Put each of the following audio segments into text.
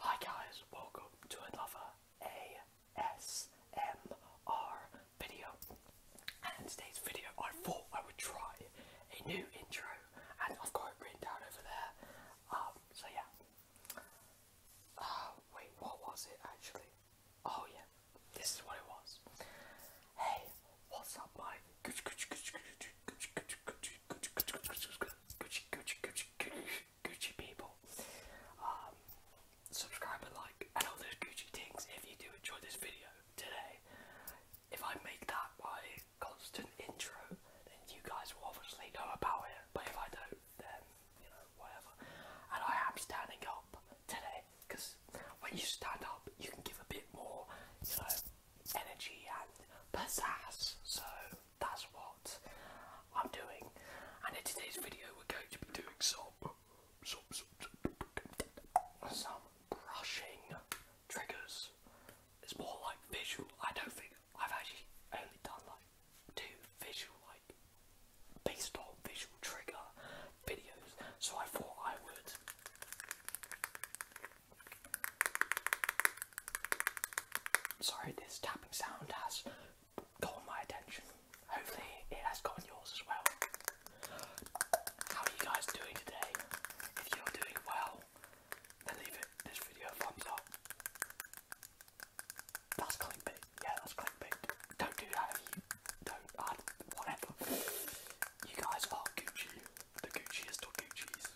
Hi guys, welcome to another ASMR video. And in today's video I thought I would try a new intro and I've got it written down over there. so yeah. wait, what was it actually? Oh yeah, this is what it was. Hey, what's up my Gucci people. Um, subscribe and like and all those Gucci things if you do enjoy this video today. If I make that my constant intro, then you guys will obviously know about it. But if I don't, then you know whatever. And I am standing up today because when you stand up, you can give a bit more, you know, energy and pizzazz. So that's what I'm doing. And in today's video, we're going to be doing some, some, some, some brushing triggers. It's more like visual. I don't think I've actually only done like two visual, like based on visual trigger videos. So I thought I would Sorry, this tapping sound has gotten my attention. Hopefully, it has gotten yours as well. How are you guys doing today? If you're doing well, then leave it this video a thumbs up. That's clickbait. Yeah, that's clickbait. Don't do that if you don't. I, whatever. You guys are Gucci. The Gucci is still Gucci's.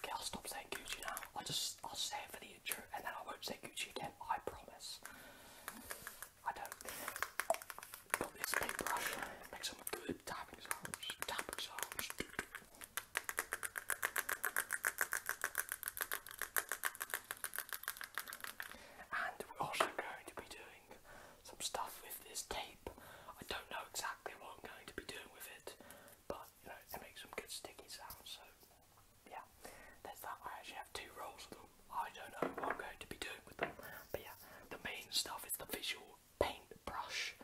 Okay, I'll stop saying Gucci now. I'll just I'll say it for the and then I won't say Gucci again. I promise. I don't. Got this big brush. Make some good tapping sounds. Tapping sounds. And we're also going to be doing some stuff with this tape. I don't know exactly what I'm going to be doing with it but you know it makes some good sticky sounds. So yeah, there's that. I actually have two rolls of them. I don't know what I'm going to be doing with them, but yeah, the main stuff is the visual paint brush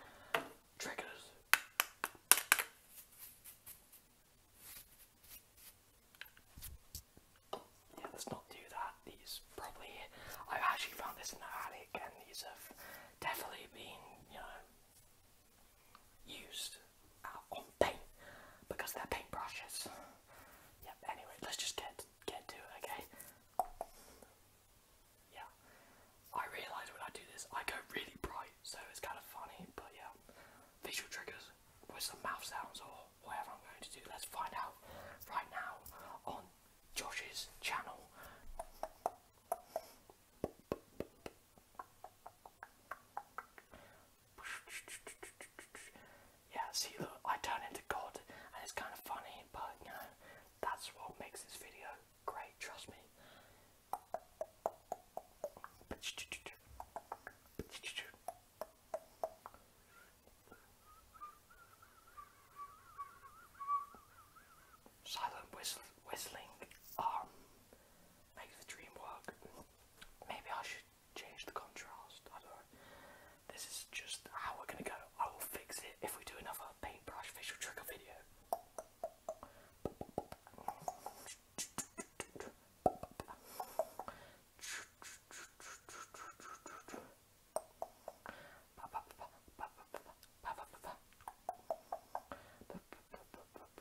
triggers. Yeah, let's not do that. These probably i actually found this in the attic, and these have definitely been, you know, used uh, on paint because they're paint brushes. Yep, anyway, let's just get get to it, okay? Yeah. I realise when I do this I go really bright, so it's kind of funny, but yeah. Visual triggers with some mouth sounds or whatever I'm going to do, let's find out right now on Josh's channel. Yeah, see, look, I turn into God, and it's kind of funny, but you know, that's what makes this video great, trust me silent whistling makes the dream work. Maybe I should change the contrast. I don't know. This is just how we're gonna go. I will fix it if we do another paintbrush facial trigger video up.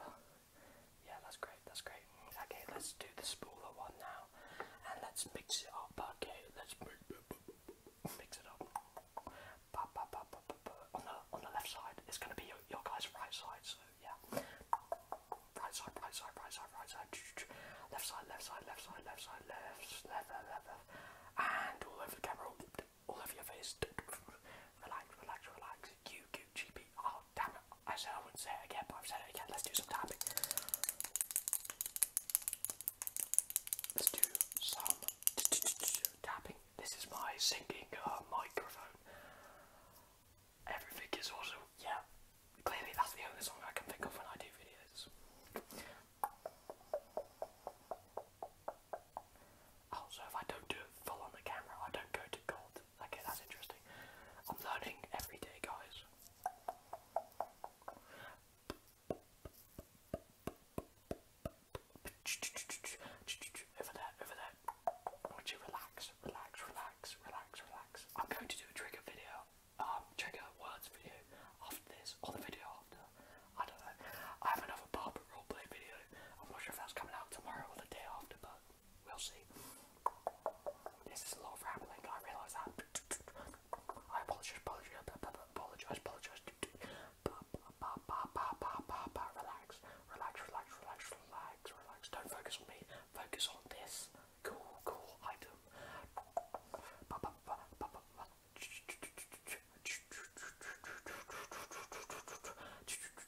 Yeah, that's great, that's great. Okay, let's do the spooler one now. And let's mix it up, okay? Let's mix it up. Mix it up. On the, on the left side, it's going to be your, your guy's right side, so yeah. Right side, right side, right side, right side. Left side, left side, left side, left side, left, left, left, left. And all over the camera all over your face. relax, relax, relax. You, Oh, damn it. I said I wouldn't say it again, but I've said it again. Let's do some tapping. Let's do some tapping. This is my singing uh, microphone. Everything is also, yeah, clearly that's the only song I can think of when I do videos. Oh, if I don't do it full on the camera, I don't go to gold. Okay, that's interesting. I'm learning every day, guys. Over there, over there. I you relax, relax, relax, relax, relax. I'm going to do a trigger video, um, trigger words video after this, or the video after. I don't know. I have another barber I'm not sure if that's coming out tomorrow or the day after, but we'll see. This is a lot of I realise that. I apologise, apologise, apologise, apologise. Relax, relax, relax, relax, relax, relax. Don't focus on me, focus on this cool, cool item. Okay,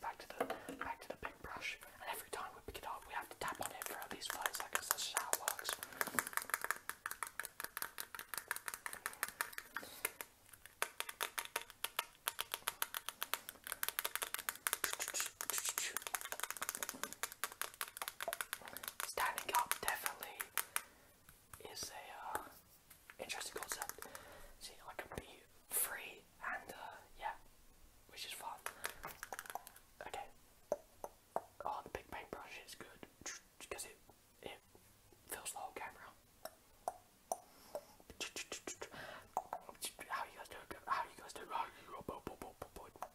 back to the back to the big brush, and every time we pick it up, we have to tap on it for at least five seconds. That's just how it works. Standing up definitely is a uh, interesting concept. See, I can be free and uh, yeah, which is fun. Okay. Oh, the big paintbrush is good because it it fills the whole camera. How you guys doing? How you guys doing? How oh, oh, oh,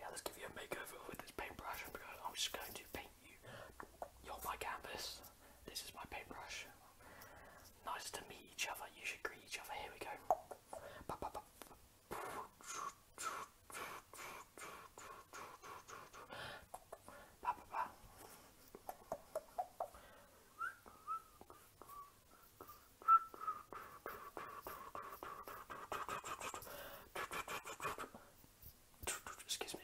yeah, let's give you a makeover with this paintbrush I'm just going to paint you. You're my canvas. This is my paintbrush. Nice to meet each other. You should greet each other. Here we go. Excuse me.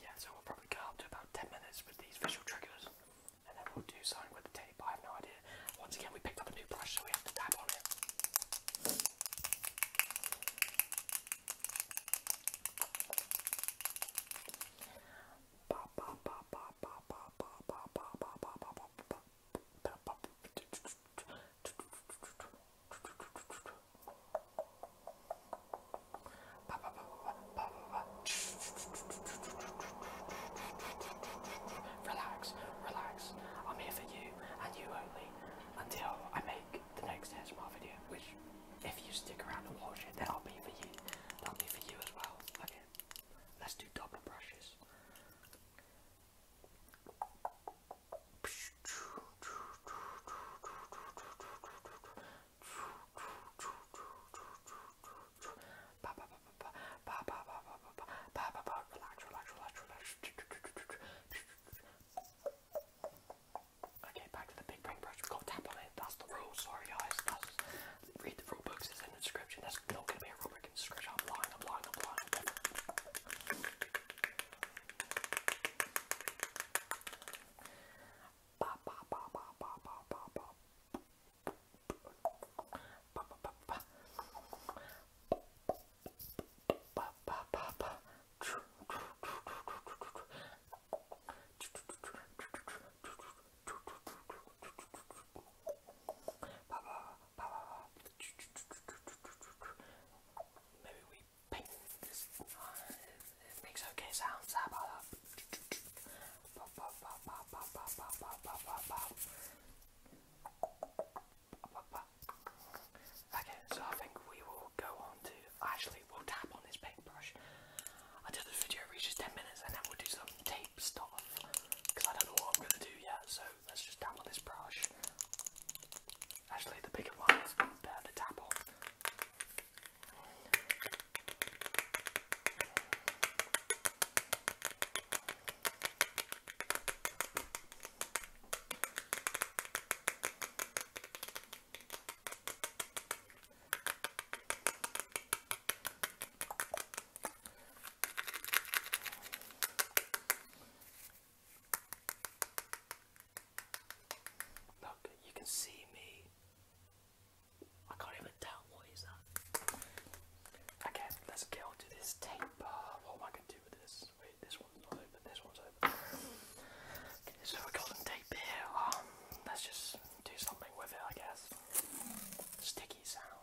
Yeah, so we'll probably go up to about 10 minutes with these visual triggers and then we'll do something with the tape. I have no idea. Once again, we picked up a new brush, so we have to dab on it. Relax, relax. I'm here for you and you only until I make the next ASMR video, which if you stick around and watch it, then I'll be for you. That'll be for you as well. Okay, let's do do double Okay, back to the big ring Go tap on it. That's the rule. Sorry, guys. Read the rule books, it's in the description. That's not gonna be a rule book in the description. I'm lying, I'm lying, I'm lying. Maybe we paint this. it makes okay sounds. Okay, so I think we will go on to. Actually, we'll tap on this paintbrush. Until this video reaches 10 minutes, and then we'll do some tape stuff because I don't know what I'm going to do yet, so let's just tap on this brush. Actually, the bigger one better to tap on. Look, you can see me. I can't even tell what is that. Okay, let's get onto this tape. Uh, what am I going to do with this? Wait, this one's open, this one's open. Okay, so we got some tape here. Um, let's just do something with it, I guess. Sticky sound.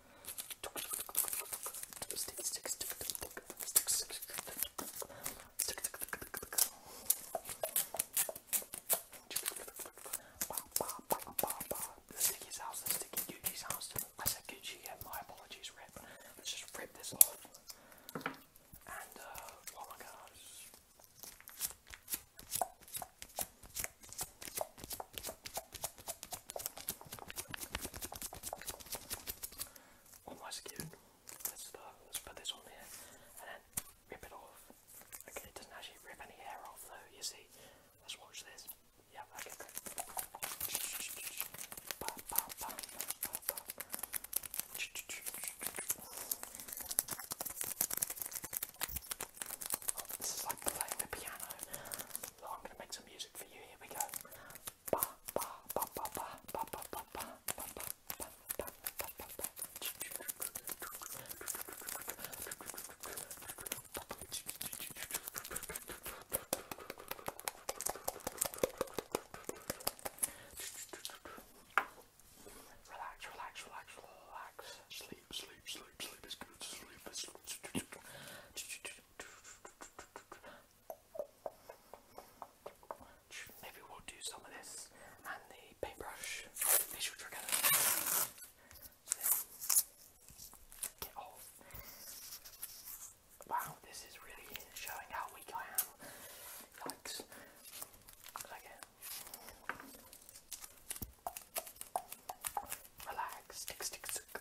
The sticky sauce, the sticky Gucci sauce. I said Gucci again, my apologies, Rip. Let's just rip this off. And, uh, oh my gosh. Let's put this on there and then rip it off. Okay, it doesn't actually rip any hair off though, you see. Let's watch this. Yeah, okay, oh, this is like playing the piano. So I'm gonna make some music for you. Here we go. Relax, relax, relax, relax. Sleep, sleep, sleep, sleep Maybe we'll do some of this and the paintbrush facial trigger. Get Wow, this is really showing how weak I am. Relax. Stick, Relax.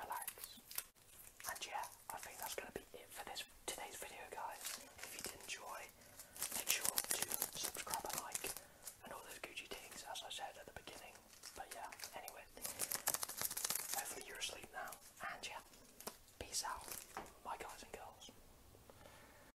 Relax. And yeah, I think that's going to be it for this today's video, guys. If you did enjoy, make sure to subscribe and like and all those Gucci things, as I said at the beginning. But yeah, anyway, hopefully you're asleep now. And yeah, peace out, my guys and girls.